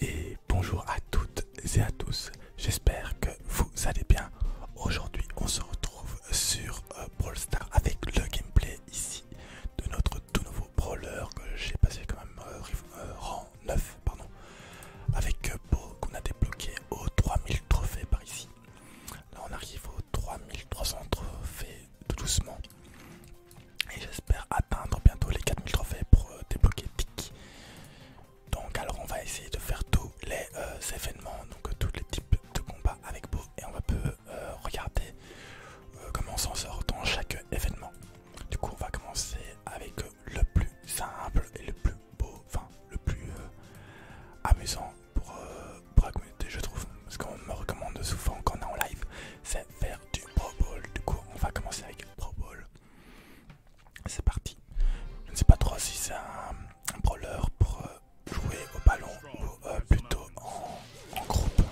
Et bonjour à toutes et à tous, j'espère que vous allez bien. Aujourd'hui on se retrouve sur euh, Brawl Stars avec le gameplay ici de notre tout nouveau brawler que j'ai passé quand même euh, euh, rang 9 pardon avec Beau qu'on a débloqué aux 3000 trophées par ici. Là on arrive aux 3300 trophées tout doucement. Et j'espère atteindre bientôt les 4000 trophées pour euh, débloquer Tic. Donc alors on va essayer de faire tous les euh, événements, donc euh, tous les types de combats avec Beau et on va peu regarder comment on s'en sort dans chaque événement. Du coup on va commencer avec le plus simple et le plus beau, enfin le plus amusant pour, je trouve. Ce qu'on me recommande souvent quand on est en live c'est faire du Pro Bowl. Du coup on va commencer avec Pro Bowl. C'est parti. Je ne sais pas trop si c'est un, brawler pour euh, jouer au ballon ou euh, plutôt en, groupe.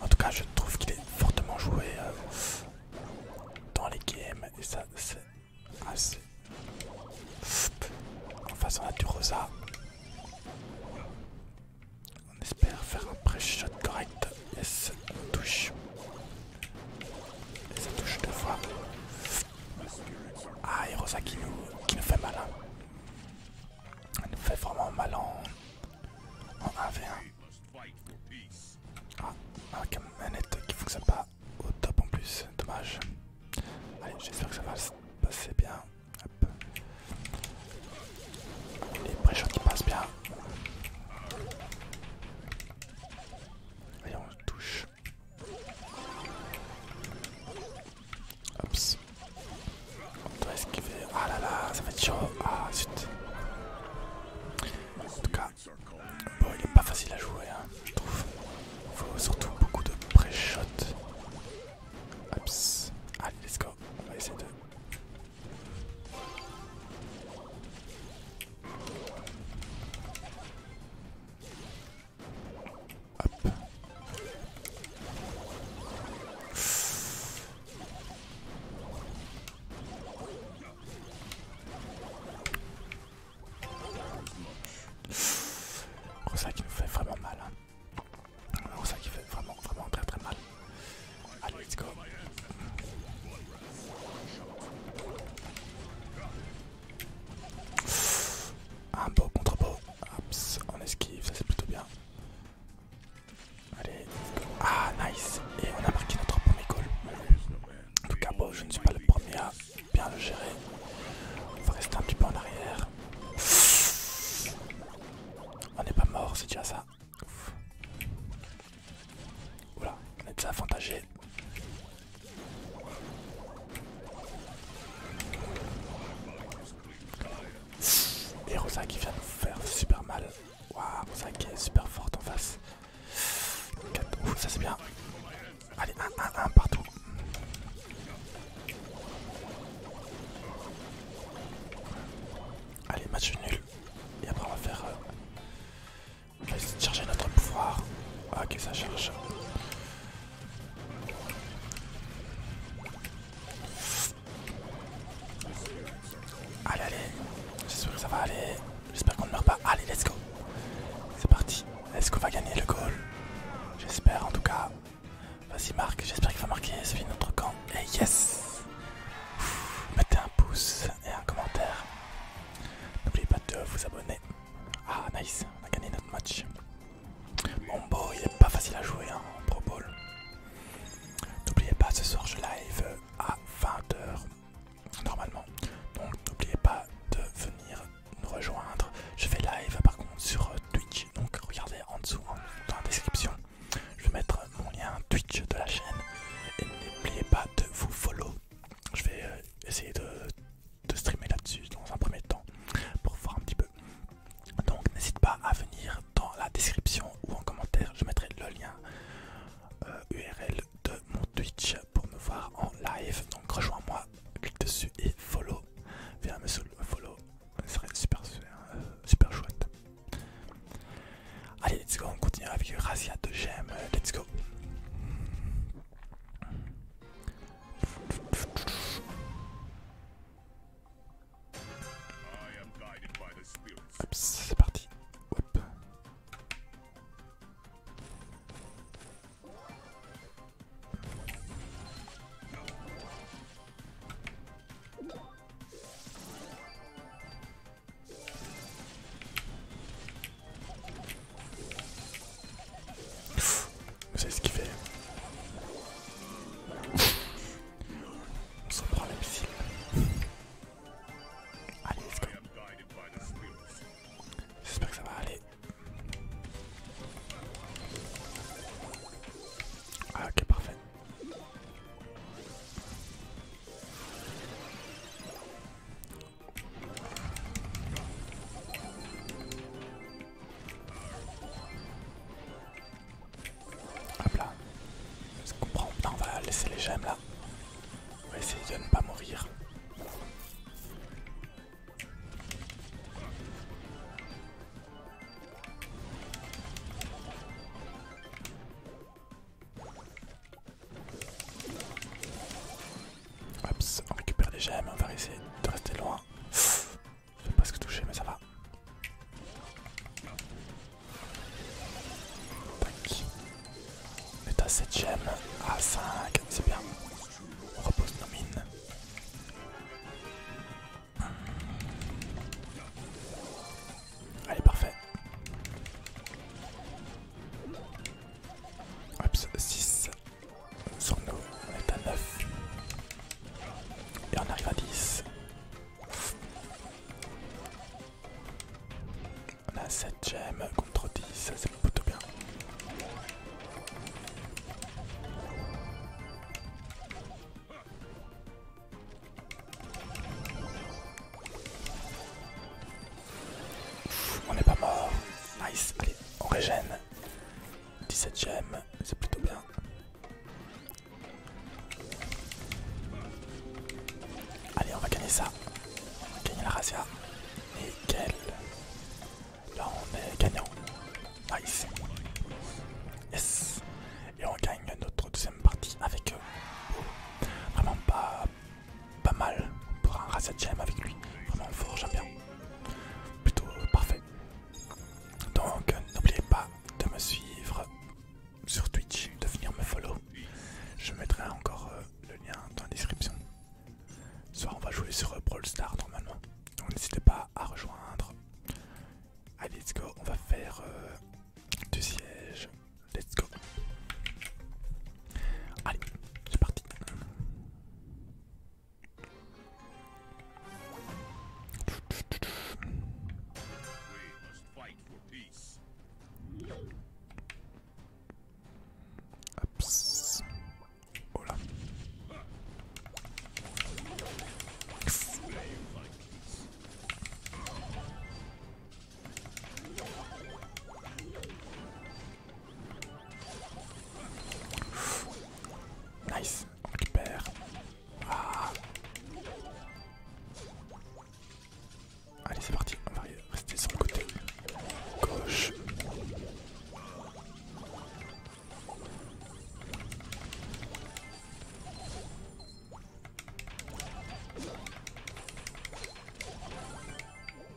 En tout cas, je trouve qu'il est fortement joué euh, dans les games et ça, c'est assez. En face, on a du Rosa. On espère faire un pré-shot correct. et touche. Ah, et ça touche deux fois. Ah, Heroza qui nous, qui nous fait mal. Hein. Elle nous fait vraiment mal en, en 1v1. Ah, avec une manette qui fonctionne pas au top en plus, dommage. Allez, j'espère que ça va se passer bien. Les préchots qui passent bien. Allez, on le touche. Ops. On doit esquiver. Ah là là, ça va être chaud. Ah zut. En tout cas, il est pas facile à jouer, hein, je trouve. Il Faut surtout beaucoup de pré shot Ops. Allez, let's go. On va essayer de c'est ça qui nous fait vraiment mal. Hein. c'est ça qui fait vraiment, vraiment très très mal. Allez, let's go. Un beau contre beau. on esquive, ça c'est plutôt bien. Allez, Ah, nice. Et on a marqué notre premier goal. En tout cas, beau, je ne suis pas le premier à bien le gérer. On va rester un petit peu en arrière. On n'est pas mort, c'est déjà ça. Ouf. Oula, on est avantagé Et Rosa vient nous faire super mal. Waouh, Rosa est super forte en face. 4, ouf, ça c'est bien. Allez, 1, 1, 1 partout. Allez, match nul. Et après on va faire... Euh, je essayer charger notre pouvoir. ok, ah, ça charge. Allez, allez. J'espère que ça va aller. J'espère qu'on ne meurt pas. Allez, let's go. C'est parti. Est-ce qu'on va gagner le goal J'espère en tout cas. Vas-y Marc, j'espère qu'il va marquer celui notre camp. Et eh, yes Mettez un pouce et un commentaire. N'oubliez pas de vous abonner. Ah nice, on a gagné notre match. bon beau, il est pas facile à jouer hein, en Pro Bowl. N'oubliez pas, ce soir je live à 20h normalement. Donc n'oubliez pas de venir nous rejoindre. Je fais live par contre sur Twitch. Donc regardez en dessous hein, dans la description. Je vais mettre mon lien Twitch de la chaîne. Et n'oubliez pas de vous follow je vais euh, essayer de, streamer là-dessus dans un premier temps pour voir un petit peu. Donc n'hésite pas à venir dans la description ou en commentaire, je mettrai le lien URL euh, de mon Twitch pour me voir en live. Donc rejoins-moi, clique dessus et follow. Viens me follow, ça serait super, euh, super chouette. Allez, let's go, on continue avec Razia de Gem. Euh, let's go. C'est parti. oups vous savez ce qu'il fait On s'en prend Allez, c'est J'espère que ça va aller. Ah, ok, parfait. Hop là. on va laisser les gemmes là. On va essayer de ne pas mourir. Oups, on récupère des gemmes, on va essayer de rester loin. je vais se toucher, mais ça va. Tac. est à 7 gemmes à ah, 5, c'est bien. On repose nos mines. Allez, parfait. 6. Sur nous, on est à 9. Et on arrive à 10. On a 7 gemmes contre 10, c'est plutôt bien on n'est pas mort. Nice. Allez, on régène. 17 ème c'est plutôt bien. Allez, on va gagner ça. On va gagner la Razia Nickel. Là, on est gagnant. Nice. Yes. Et on gagne notre deuxième partie avec eux. Vraiment pas pas mal pour un Razet Gem avec lui. Vraiment fort, j'aime bien. Plutôt parfait. Donc n'oubliez pas de me suivre sur Twitch, de venir me follow. Je mettrai encore euh, le lien dans la description. Ce soir on va jouer sur euh, Brawl Star normalement. n'hésitez pas à rejoindre. Allez let's go, on va faire euh, du siège. Let's go. Allez, c'est parti. Oops. Oh là. Nice, on Ah. Allez, c'est parti, on va rester sur le côté gauche.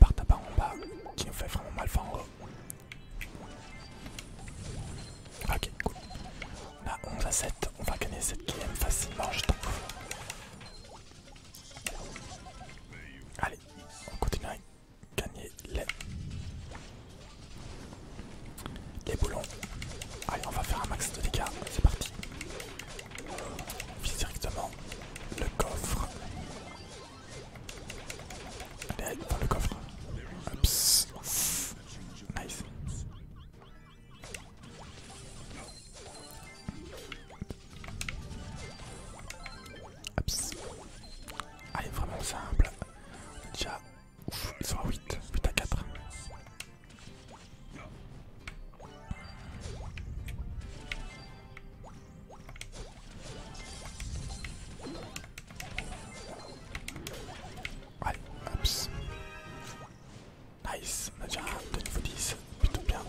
Par barre en bas qui nous fait vraiment mal, en haut. Ok, cool. On a 11 à 7, on va gagner cette game facilement, je t'en Allez, on continue à gagner les, les boulons. Allez, on va faire un max de dégâts, c'est parti. On vise directement le coffre. Allez, dans le coffre. Ups. Nice. Ups. Allez, ah, vraiment simple. Déjà, ouf, ils sont à 8, 8 à 4. Allez, hops. Nice, on a déjà un de niveau 10, plutôt bien.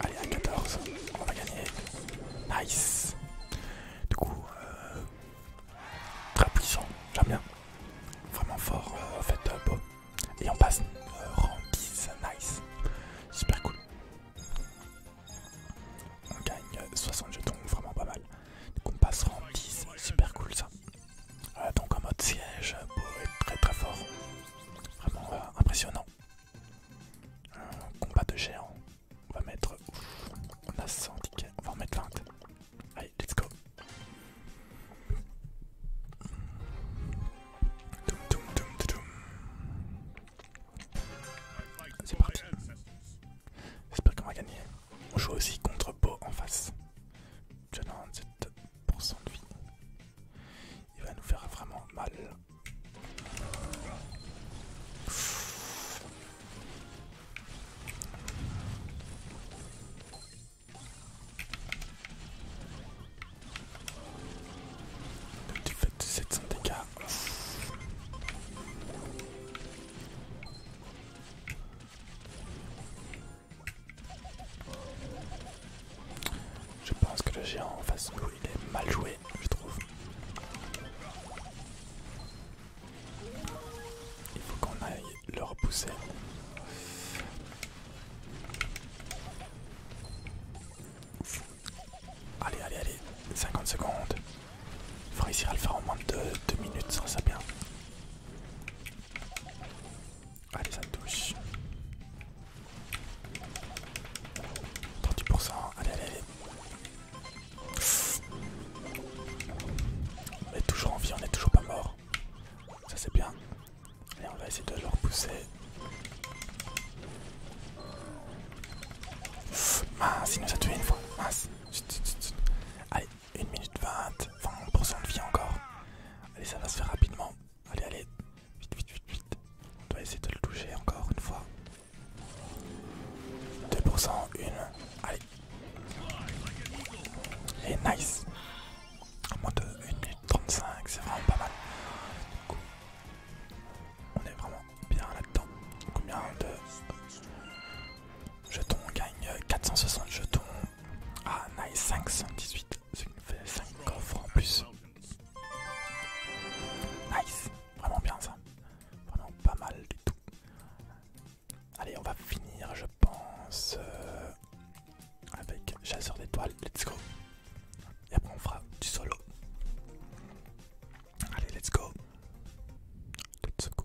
Allez, à 14, on va gagner. Nice. Du coup, euh, très puissant, j'aime bien. Vraiment fort, en euh, fait, euh, Bob. Et on passe euh, rang 10, nice. Super cool. On gagne 60 euh, jetons, vraiment pas mal. Donc on passe rang 10, super cool ça. Euh, donc en mode siège, très très fort. Vraiment impressionnant. combat de géant. On va mettre... on a 100 tickets, on va en mettre 20 let's go. C'est parti. J'espère qu'on va gagner. On joue aussi contre Beau en face. J'ai 97% de vie. Il va nous faire vraiment mal. Du tu fais 700 dégâts. Je pense que le géant en face de il est mal joué, je trouve. Il faut qu'on aille le repousser. Allez, allez, allez, 50 secondes. Il faut réussir à le faire en moins de 2 minutes, ça c'est bien. Allez, ça me touche. 38%, allez, allez, allez. On est toujours en vie, on n'est toujours pas mort. Ça c'est bien. Allez, on va essayer de le repousser. mince, il nous a tué une fois. Mince. Allez, 1 minute 20. 20% de vie encore. Allez, ça va se faire rapidement. Allez, allez. Vite, vite, vite, vite. On doit essayer de le toucher encore une fois. 2%, une. Allez. Et nice en moins de 1 minute 35, c'est vraiment pas mal. Du on est vraiment bien là-dedans. Combien de jetons On gagne 460 jetons. Ah, nice, 518, ce qui nous fait 5 coffres en plus. Nice, vraiment bien ça. Vraiment pas mal du tout. Allez, on va finir, je pense, euh, avec chasseur d'étoiles, let's go. Et après on fera du solo. Allez, let's go. Let's go.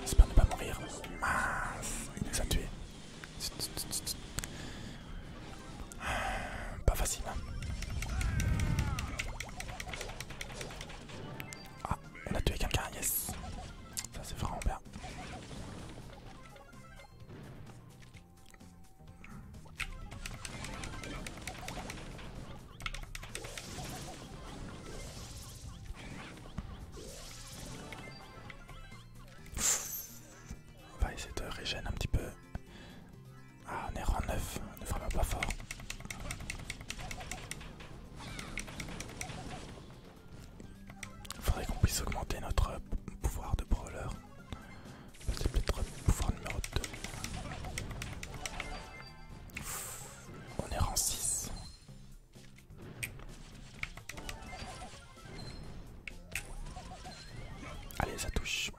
J'espère ne pas mourir. Ah, il nous a tué Pas facile. Hein. Ah, on a tué quelqu'un, yes. Ça c'est vraiment bien. On va essayer de régénérer un petit peu. Ah, on est rang neuf, on est vraiment pas fort. Il Faudrait qu'on puisse augmenter notre pouvoir de brawler. C'est peut-être le pouvoir numéro 2. On est rang 6. Allez, ça touche.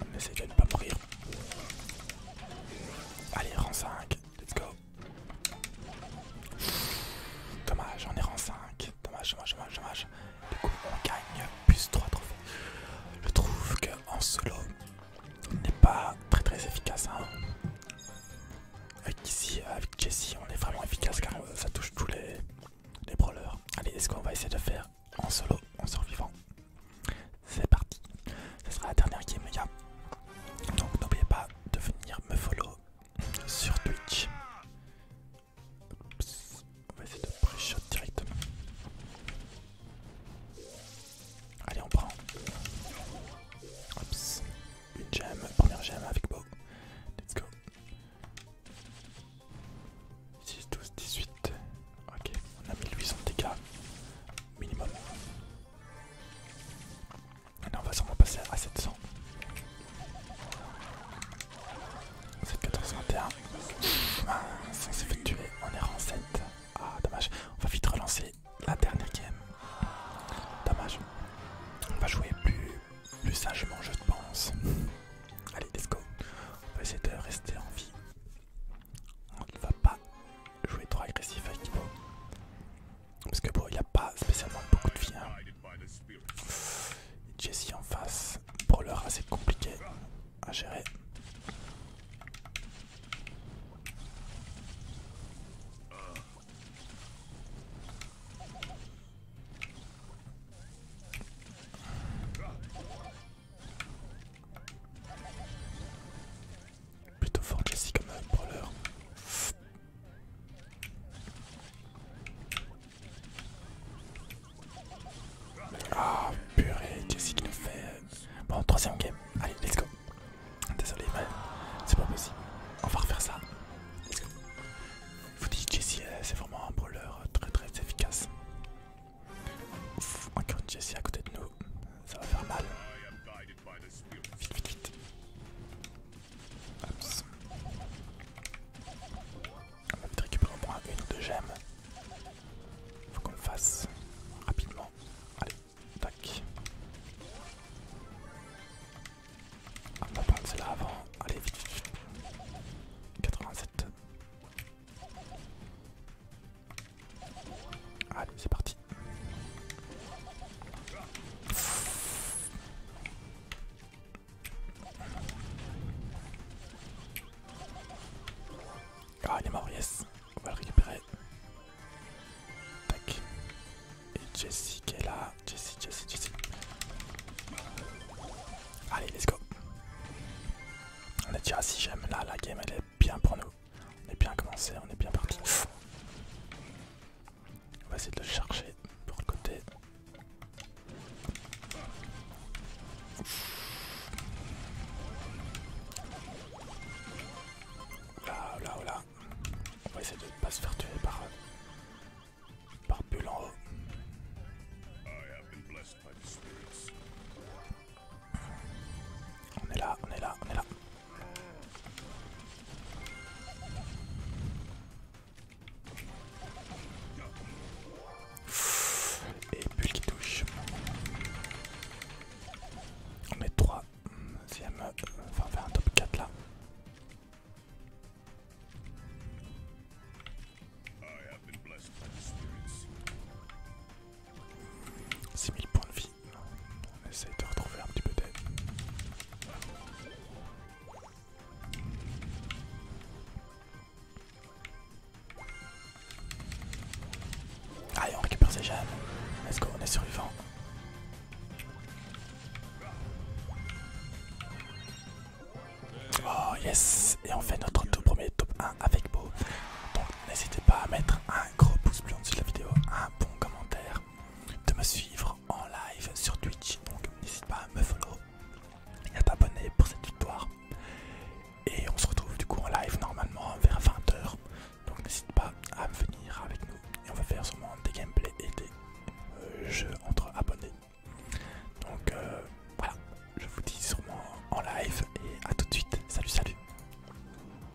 On essaie de ne pas mourir. Allez, rang 5, let's go. Dommage, on est rang 5. Dommage, dommage, dommage, Du coup, on gagne plus 3 trophées. Je trouve qu'en solo solo, n'est pas très très efficace. Hein. Avec ici, avec Jessie, on est vraiment efficace car euh, ça touche tous les, les brawlers. Allez, est-ce qu'on va essayer de faire en solo, en survivant c'est parti. Ce sera la dernière game, les gars. Donc n'oubliez pas de venir me follow sur Twitch. On va essayer de pré-shot directement. Allez, on prend. Oups. Une gemme, première gemme avec Bo, Let's go. 6, 12, 18. Ok, on a 1800 dégâts minimum on va passer à 700. 7,1421. on s'est fait tuer. On est en 7. Ah, dommage. On va vite relancer la dernière game. Dommage. On va jouer plus, plus sagement, je pense. Allez, let's go. On va essayer de rester en vie. On va pas jouer trop agressif avec Parce que bon, il a pas spécialement beaucoup de vie. Hein. Jessie en face, brawler assez compliqué à gérer. Plutôt fort Jessie comme un brawler. Ah purée, Jessie qui nous fait. Bon, troisième game. Allez, let's go. Désolé, mais c'est pas possible. On va refaire ça. Let's go. Vous dites Jessie euh, c'est vraiment un brawler euh, très très efficace. Encore une Jesse à côté de nous ça va faire mal. Vite, vite, vite. On va vite récupérer au moins une ou deux gemmes. Faut qu'on le fasse rapidement. Allez, tac. On va prendre celle-là avant. Allez, vite, vite, vite. 87. Ah, allez, c'est parti. Ah, il est mort, yes. On va le récupérer. Tac. Et Jessie qui est là. Jessie, Jessie, Jessie. Allez, let's go. On est déjà à 6 Là, la game elle est bien pour nous. On est bien commencé, on est bien parti. On va essayer de le chercher pour le côté. Là, là, là. On va essayer de ne pas se faire tuer par, par Bulle en haut. On est là, on est là, on est là. Et plus qui touche. On met 3. enfin faire un top 4 là. 6000 points de vie on essaye de retrouver un petit peu d'aide. Allez, on récupère ces gemmes. Let's go, on est survivant. Oh yes, et on fait notre tout premier top 1 avec Beau. Donc n'hésitez pas à mettre un un gros pouce bleu en dessous de la vidéo, un bon commentaire, de me suivre en live sur Twitch. Donc n'hésite pas à me follow et à t'abonner pour cette victoire. Et on se retrouve du coup en live normalement vers 20h. Donc n'hésite pas à venir avec nous et on va faire sûrement des gameplays et des euh, jeux entre abonnés. Donc euh, voilà, je vous dis sûrement en live et à tout de suite. Salut, salut.